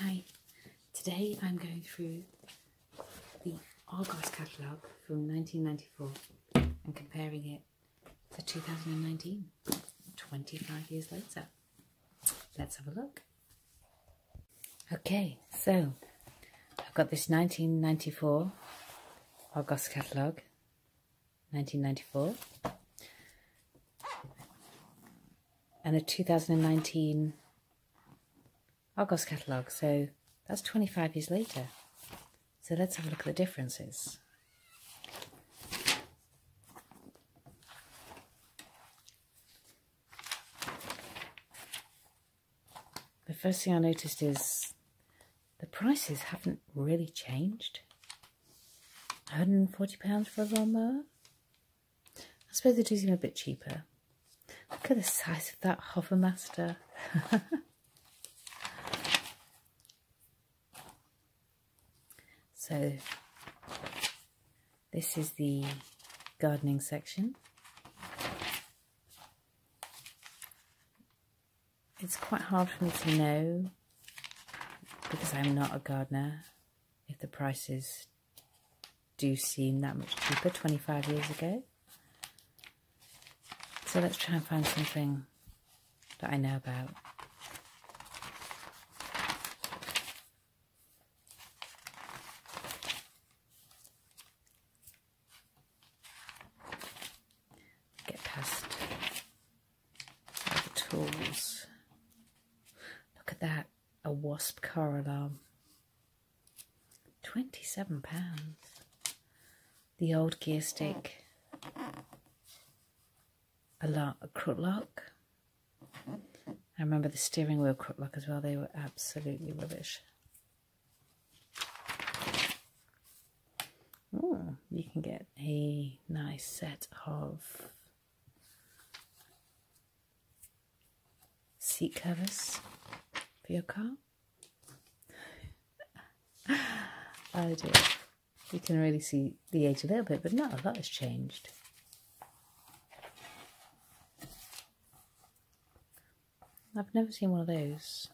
Hi, today I'm going through the Argos catalogue from 1994 and comparing it to 2019, 25 years later. Let's have a look. Okay, so I've got this 1994 Argos catalogue, 1994 and the 2019 Argos catalogue. So that's 25 years later. So let's have a look at the differences. The first thing I noticed is the prices haven't really changed. £140 for a lawnmower? I suppose they do seem a bit cheaper. Look at the size of that Hovermaster. so this is the gardening section. It's quite hard for me to know because I'm not a gardener if the price is do seem that much cheaper 25 years ago. So let's try and find something that I know about. Get past the tools. Look at that a wasp car alarm. Um, £27. The old gear stick. A, lot, a lock. I remember the steering wheel crook lock as well. They were absolutely rubbish. Ooh, you can get a nice set of seat covers for your car. oh dear. You can really see the age a little bit, but not a lot has changed. I've never seen one of those.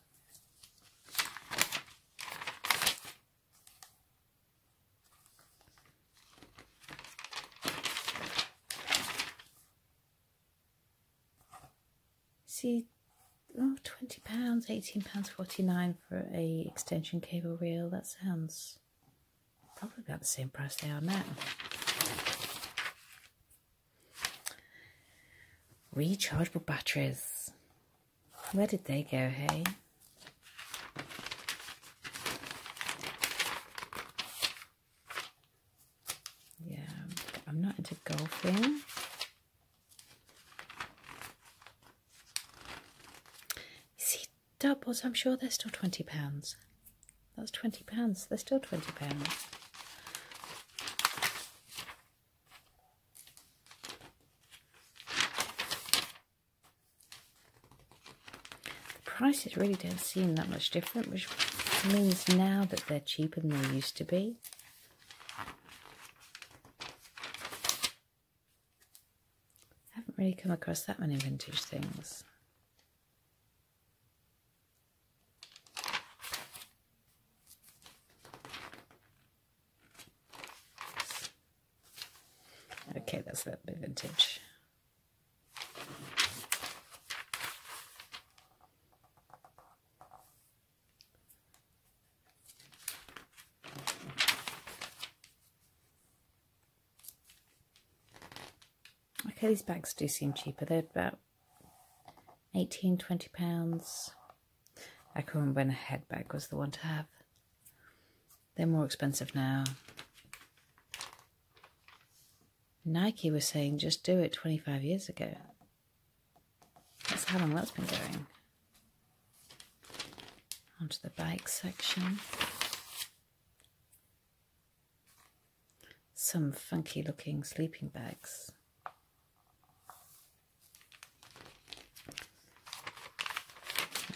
See, oh, 20 pounds, 18 pounds 49 for a extension cable reel. That sounds probably about the same price they are now. Rechargeable batteries. Where did they go, hey? Yeah, I'm not into golfing. See, doubles, I'm sure they're still £20. That's £20. They're still £20. The prices really don't seem that much different, which means now that they're cheaper than they used to be. I haven't really come across that many vintage things. Okay, that's that vintage. Okay, these bags do seem cheaper. They're about 18, 20 pounds. I could not remember when a head bag was the one to have. They're more expensive now. Nike was saying just do it 25 years ago. That's how long that's been going. Onto the bike section. Some funky looking sleeping bags.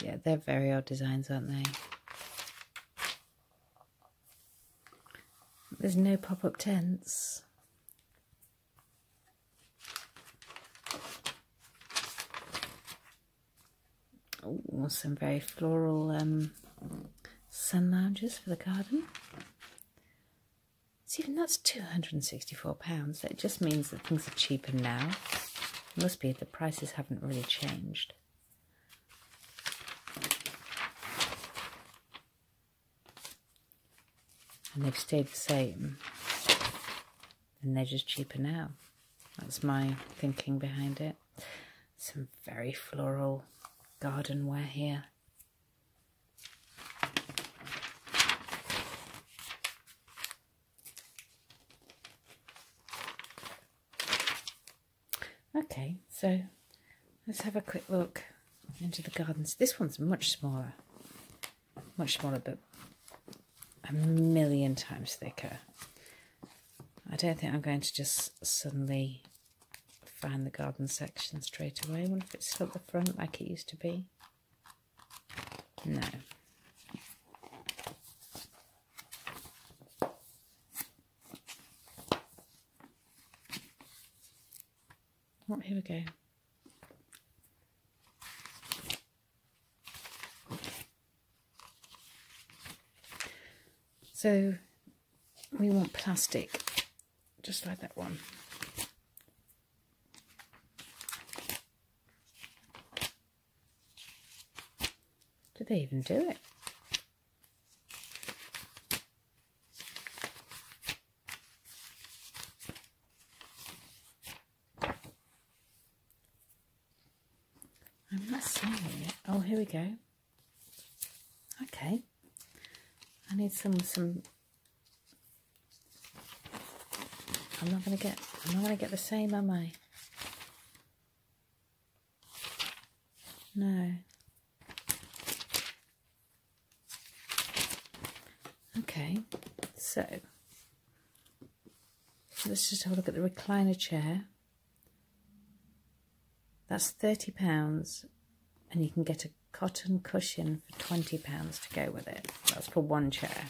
Yeah, they're very odd designs, aren't they? There's no pop-up tents. Oh, some very floral um, sun lounges for the garden. See, even that's £264. That just means that things are cheaper now. It must be the prices haven't really changed. And they have stayed the same. And they're just cheaper now. That's my thinking behind it. Some very floral gardenware here. Okay, so let's have a quick look into the gardens. This one's much smaller, much smaller, but a million times thicker. I don't think I'm going to just suddenly find the garden section straight away. I wonder if it's still at the front like it used to be. No. Oh, here we go. So we want plastic, just like that one. Did they even do it? I'm not seeing it. Oh, here we go. Okay. I need some, some... I'm not going to get, I'm not going to get the same, am I? No. Okay, so let's just have a look at the recliner chair. That's £30 and you can get a cotton cushion for £20 to go with it. That's for one chair.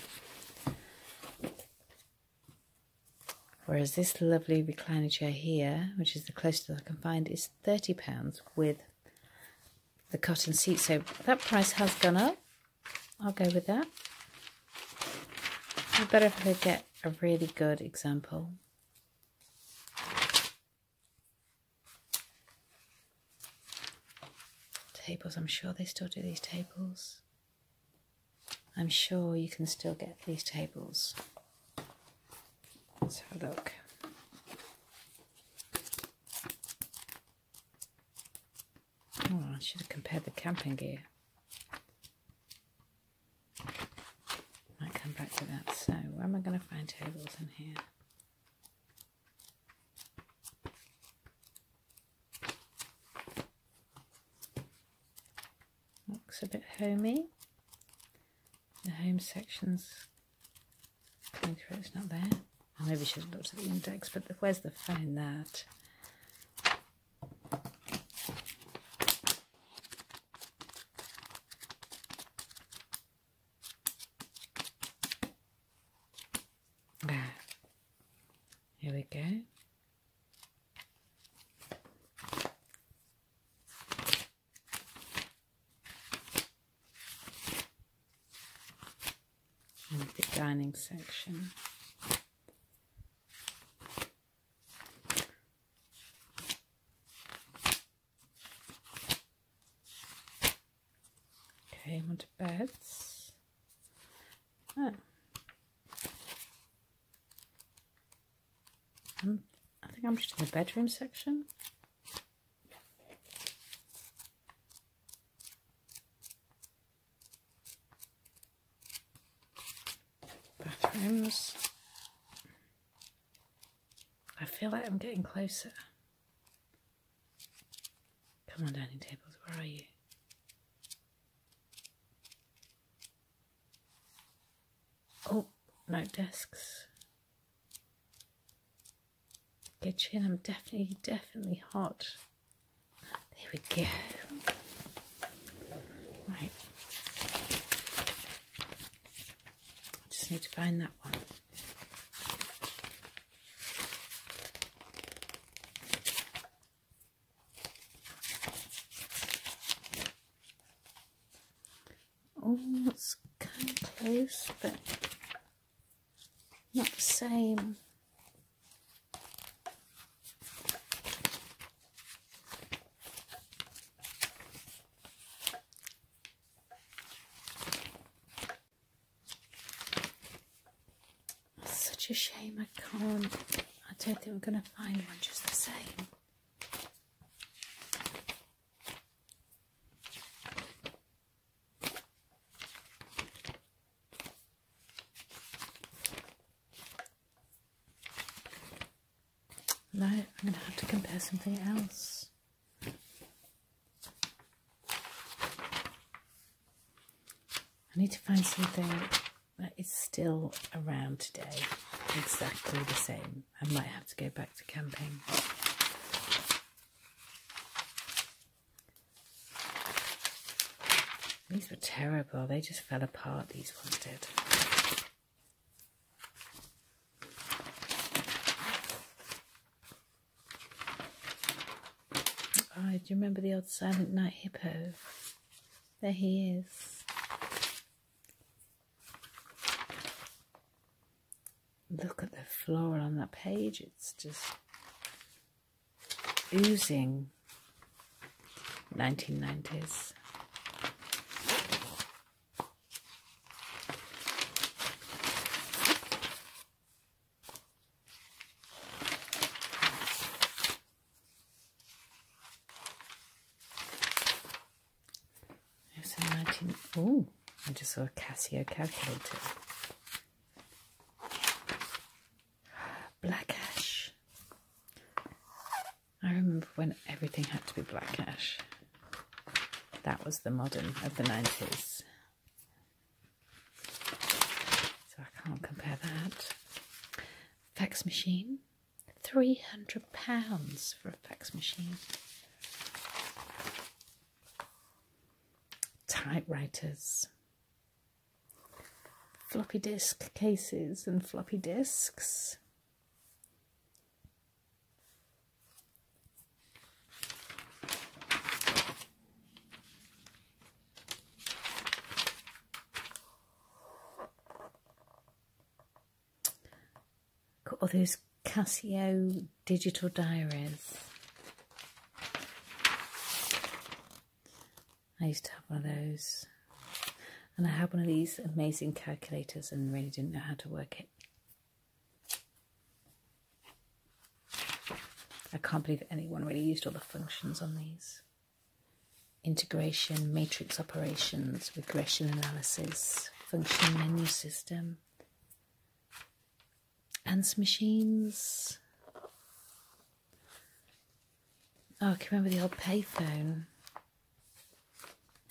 Whereas this lovely recliner chair here, which is the closest I can find, is £30 with the cotton seat. So that price has gone up. I'll go with that. I better if I get a really good example. Tables, I'm sure they still do these tables. I'm sure you can still get these tables. Let's have a look. Oh, I should have compared the camping gear. Might come back to that. So, where am I going to find tables in here? Looks a bit homey. The home section's going it's not there. I maybe should have looked at the index, but where's the phone? in that? here we go the dining section. Okay, onto beds. I think I'm just in the bedroom section. Bathrooms. I feel like I'm getting closer. Come on, dining tables, where are you? Oh, no desks. Get you in. I'm definitely, definitely hot. There we go. Right. I just need to find that one. Oh, it's kind of close, but not the same. It's such a shame I can't. I don't think we're going to find one just the same. No, I'm going to have to compare something else. I need to find something that is still around today, exactly the same. I might have to go back to camping. These were terrible, they just fell apart, these ones did. Oh, do you remember the old Silent Night Hippo? There he is. Look at the floral on that page. It's just oozing 1990s. There's a 19... Oh, I just saw a Casio calculator. Black ash. I remember when everything had to be black ash. That was the modern of the 90s. So I can't compare that fax machine. Three hundred pounds for a fax machine. Typewriters. Floppy disk cases and floppy disks. Got all those Casio digital diaries. I used to have one of those. And I had one of these amazing calculators and really didn't know how to work it. I can't believe anyone really used all the functions on these integration, matrix operations, regression analysis, function menu system, answer machines. Oh, can you remember the old payphone.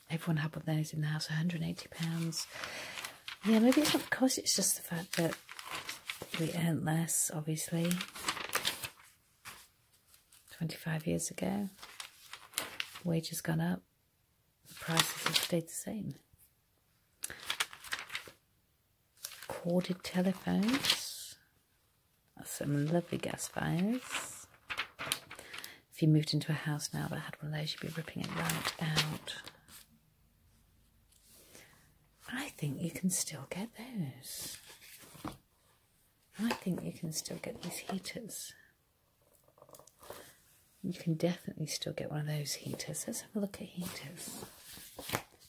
Everyone had one of those in the house, £180. Yeah, maybe it's, of course it's just the fact that we earn less, obviously. 25 years ago. wages gone up, prices have stayed the same. Corded telephones, some lovely gas fires. If you moved into a house now that had one of those, you'd be ripping it right out. I think you can still get those. I think you can still get these heaters. You can definitely still get one of those heaters. Let's have a look at heaters.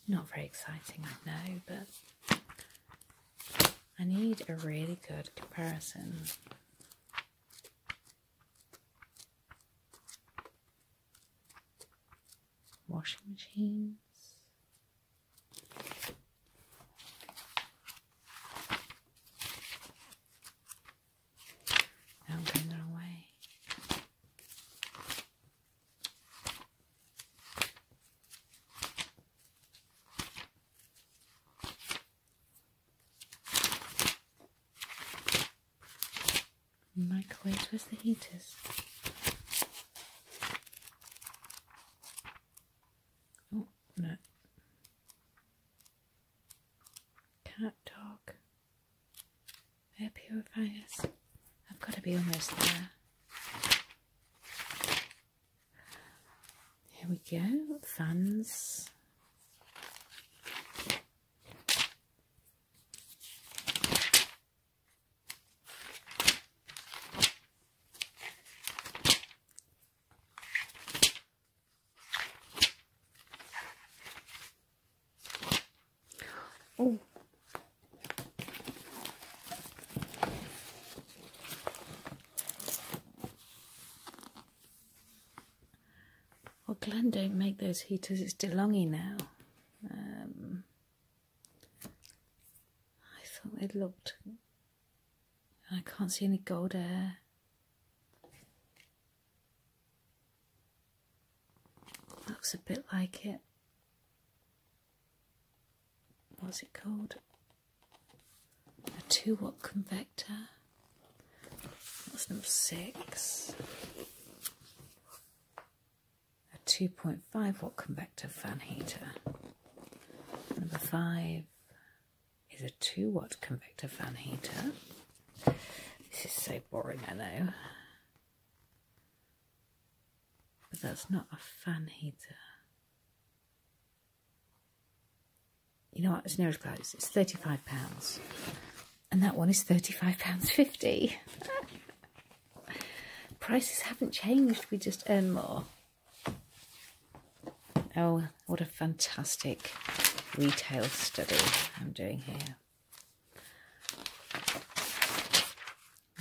Not very exciting, I know, but I need a really good comparison washing machines. Now putting it away. Microwaves, where's the heaters? Oh, no. Cat, dog. Air purifiers. I've got to be almost there. Here we go. Fans. Oh. Well, Glen don't make those heaters, it's too longy now. Um, I thought it looked. I can't see any gold there. Looks a bit like it. What's it called? A 2 watt convector. That's number 6 a 2.5 watt convector fan heater. Number five is a 2 watt convector fan heater. This is so boring, I know. But that's not a fan heater. You know what? It's near as It's £35. And that one is £35.50. Prices haven't changed, we just earn more. Oh, what a fantastic retail study I'm doing here.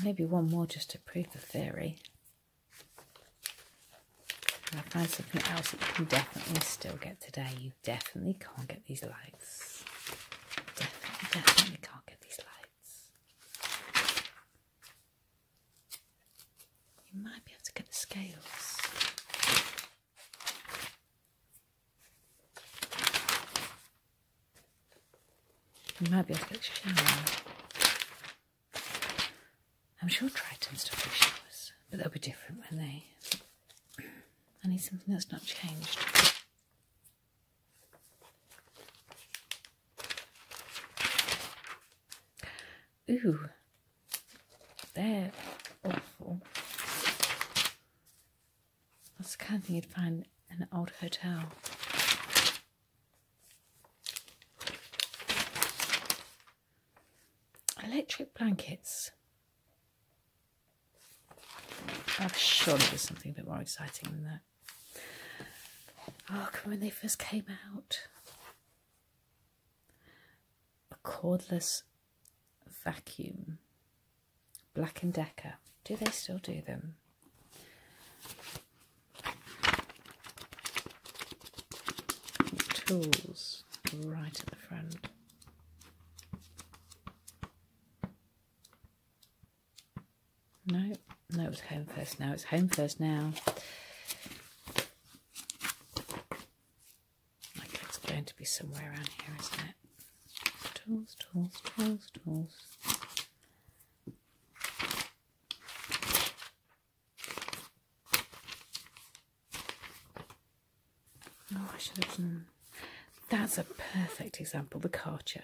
Maybe one more just to prove the theory. I find something else that you can definitely still get today. You definitely can't get these lights. Definitely, definitely can't get these lights. You might be able to get the scales. You might be able to get a shower. I'm sure Triton's still do showers, but they'll be different when they. I need something that's not changed. Ooh, they awful. That's the kind of thing you'd find in an old hotel. Electric blankets. i am sure there's something a bit more exciting than that. Oh, when they first came out, a cordless vacuum. Black and Decker. Do they still do them? Tools right at the front. No, no, it's home first now. It's home first now. Like it's going to be somewhere around here, isn't it? Tools, tools, tools, tools. Oh, I should have done. That's a perfect example, the Karcher.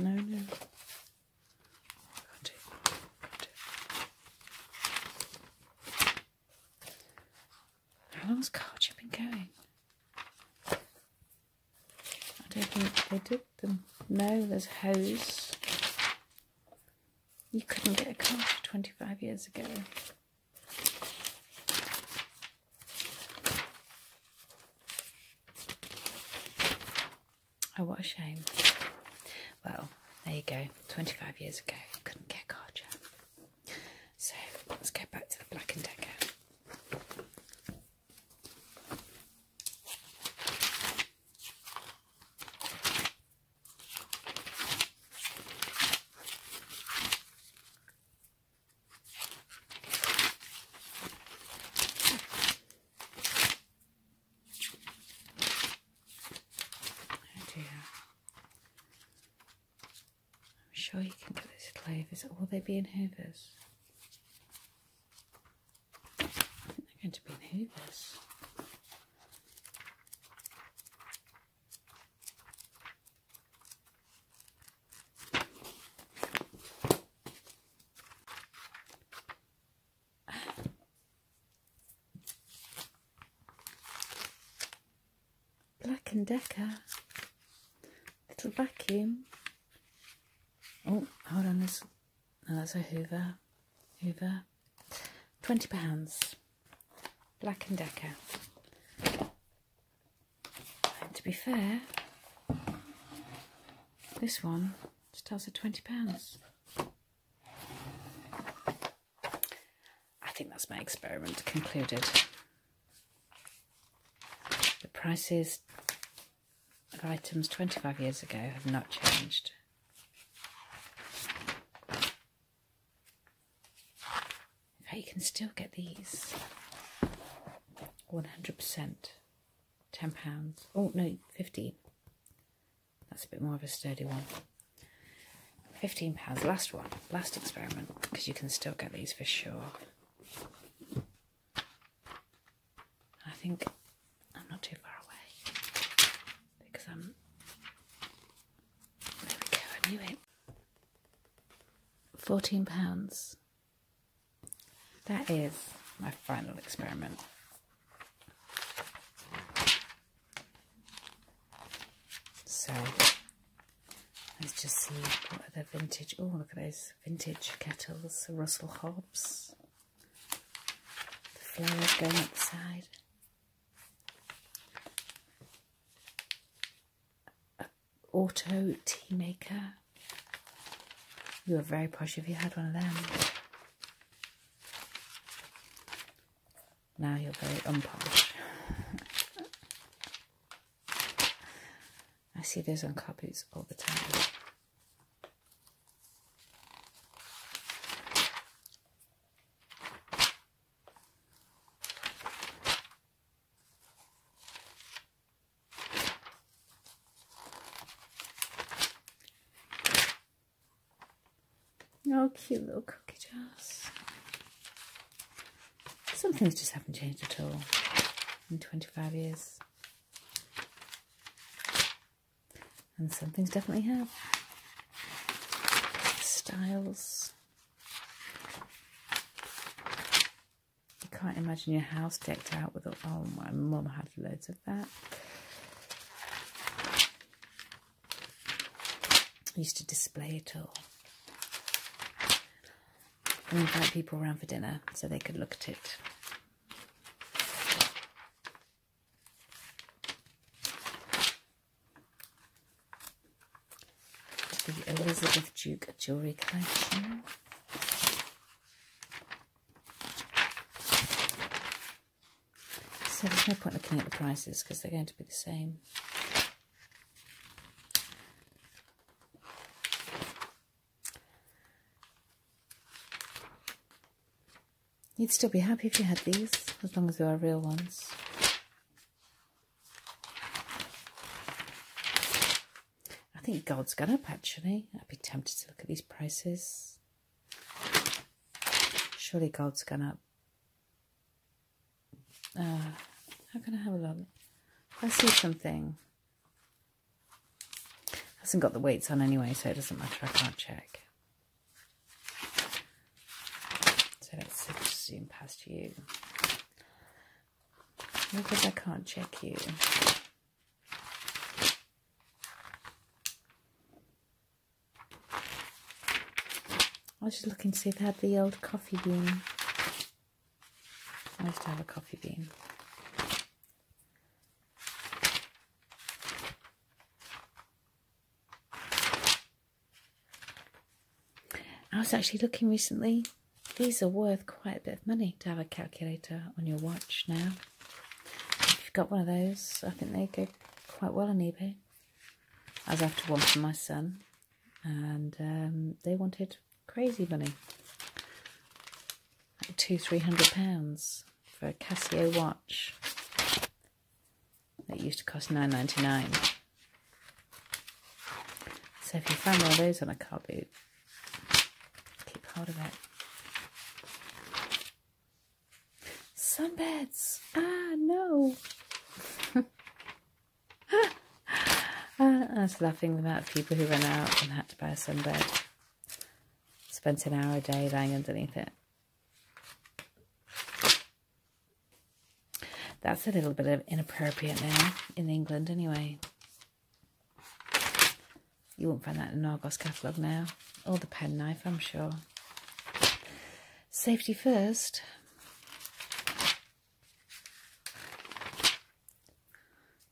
No, no. How long's card been going? I don't think they took them. No, there's hose. You couldn't get a car 25 years ago. Oh, what a shame. Well, there you go. 25 years ago, you couldn't get car jam. So let's go back to the Black & Decker. Oh dear. I'm sure you can get this clovers, or will they be in hoovers? I think they're going to be in hoovers. Black and Decker, little vacuum. Oh, hold on, this. No, that's a Hoover. Hoover. Twenty pounds. Black and Decker to be fair, this one starts at £20. I think that's my experiment concluded. The prices of items 25 years ago have not changed. you can still get these 100%. £10. Oh, no, 15 That's a bit more of a sturdy one. £15. Last one. Last experiment. Because you can still get these for sure. I think I'm not too far away. Because I'm... There we go. I knew it. £14. That is my final experiment. So let's just see what other vintage. Oh, look at those vintage kettles, Russell Hobbs. The flowers going up the side auto tea maker. You were very posh if you had one of them. Now you're very unposh. I see those on car all the time. Oh, cute little cookie jars. Some things just haven't changed at all in 25 years. And some things definitely have. Styles. I can't imagine your house decked out with. Oh, my mum had loads of that. used to display it all and invite people around for dinner so they could look at it. The Elizabeth Duke jewellery collection. So there's no point looking at the prices because they're going to be the same. You'd still be happy if you had these, as long as they were real ones. I think gold gonna actually. I'd be tempted to look at these prices. Surely gold gonna. up. how can I have a look? I see something. Hasn't got the weights on anyway, so it doesn't matter. I can't check. So let's zoom past you. Because I can't check you. I was just looking to see if they had the old coffee bean. I used to have a coffee bean. I was actually looking recently these are worth quite a bit of money to have a calculator on your watch now. If you've got one of those, I think they go quite well on eBay. I was after one for my son, and um, they wanted crazy money. Like two, three hundred pounds for a Casio watch that used to cost nine ninety nine. So if you find one of those on a car boot, Keep hold of it. Sunbeds! Ah, no! Ah, I was laughing about people who ran out and had to buy a sunbed. Spent an hour a day lying underneath it. That's a little bit of inappropriate now, in England anyway. You won't find that in an Argos catalogue now. Or the penknife, I'm sure. Safety first.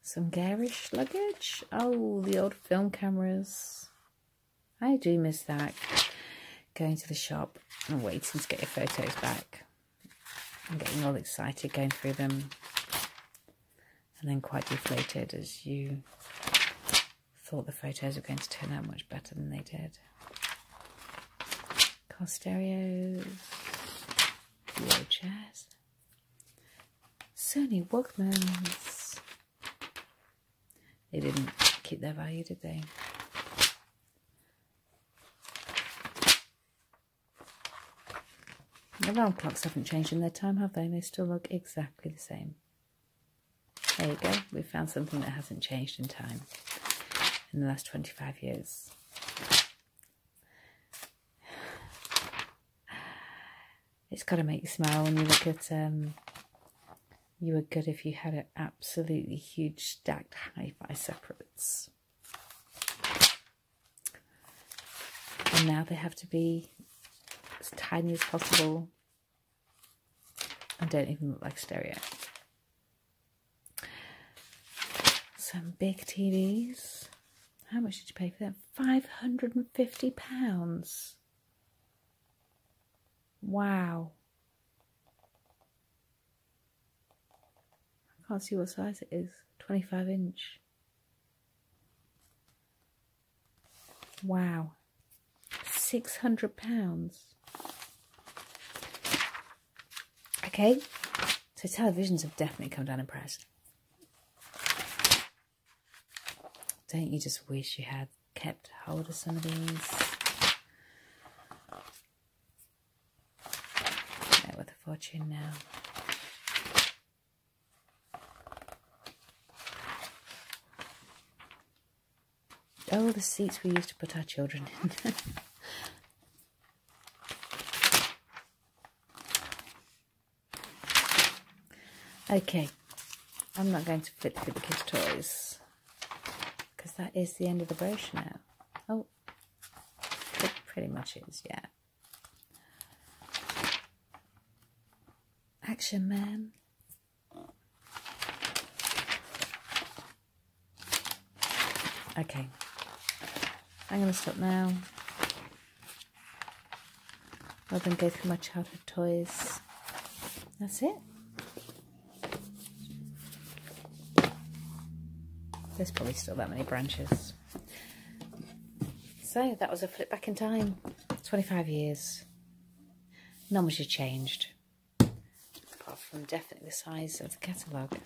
Some garish luggage. Oh, the old film cameras. I do miss that. Going to the shop and waiting to get your photos back. I'm getting all excited going through them and then quite deflated as you thought the photos were going to turn out much better than they did. Car stereos, chairs, Sony Walkmans. They didn't keep their value, did they? The round clocks haven't changed in their time, have they? They still look exactly the same. There you go. We found something that hasn't changed in time in the last 25 years. It's got to make you smile when you look at... Um, you were good if you had an absolutely huge stacked hi-fi separates. And now they have to be as tiny as possible and don't even look like stereo. Some big TVs. How much did you pay for them? £550. Wow. I can't see what size it is. 25 inch. Wow. £600. Okay. So televisions have definitely come down in price. Don't you just wish you had kept hold of some of these? with a fortune now. Oh, the seats we used to put our children in. okay, I'm not going to flip through the kids' toys because that is the end of the brochure now. Oh, it pretty much is, yeah. Action Man. Okay, I'm going to stop now. Rather than go through my childhood toys. That's it. There's probably still that many branches. So that was a flip back in time. 25 years. None was changed. Apart from definitely the size of the catalogue.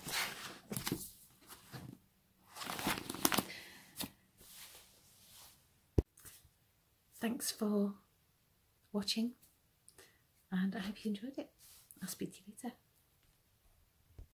Thanks for watching and I hope you enjoyed it. I'll speak to you later.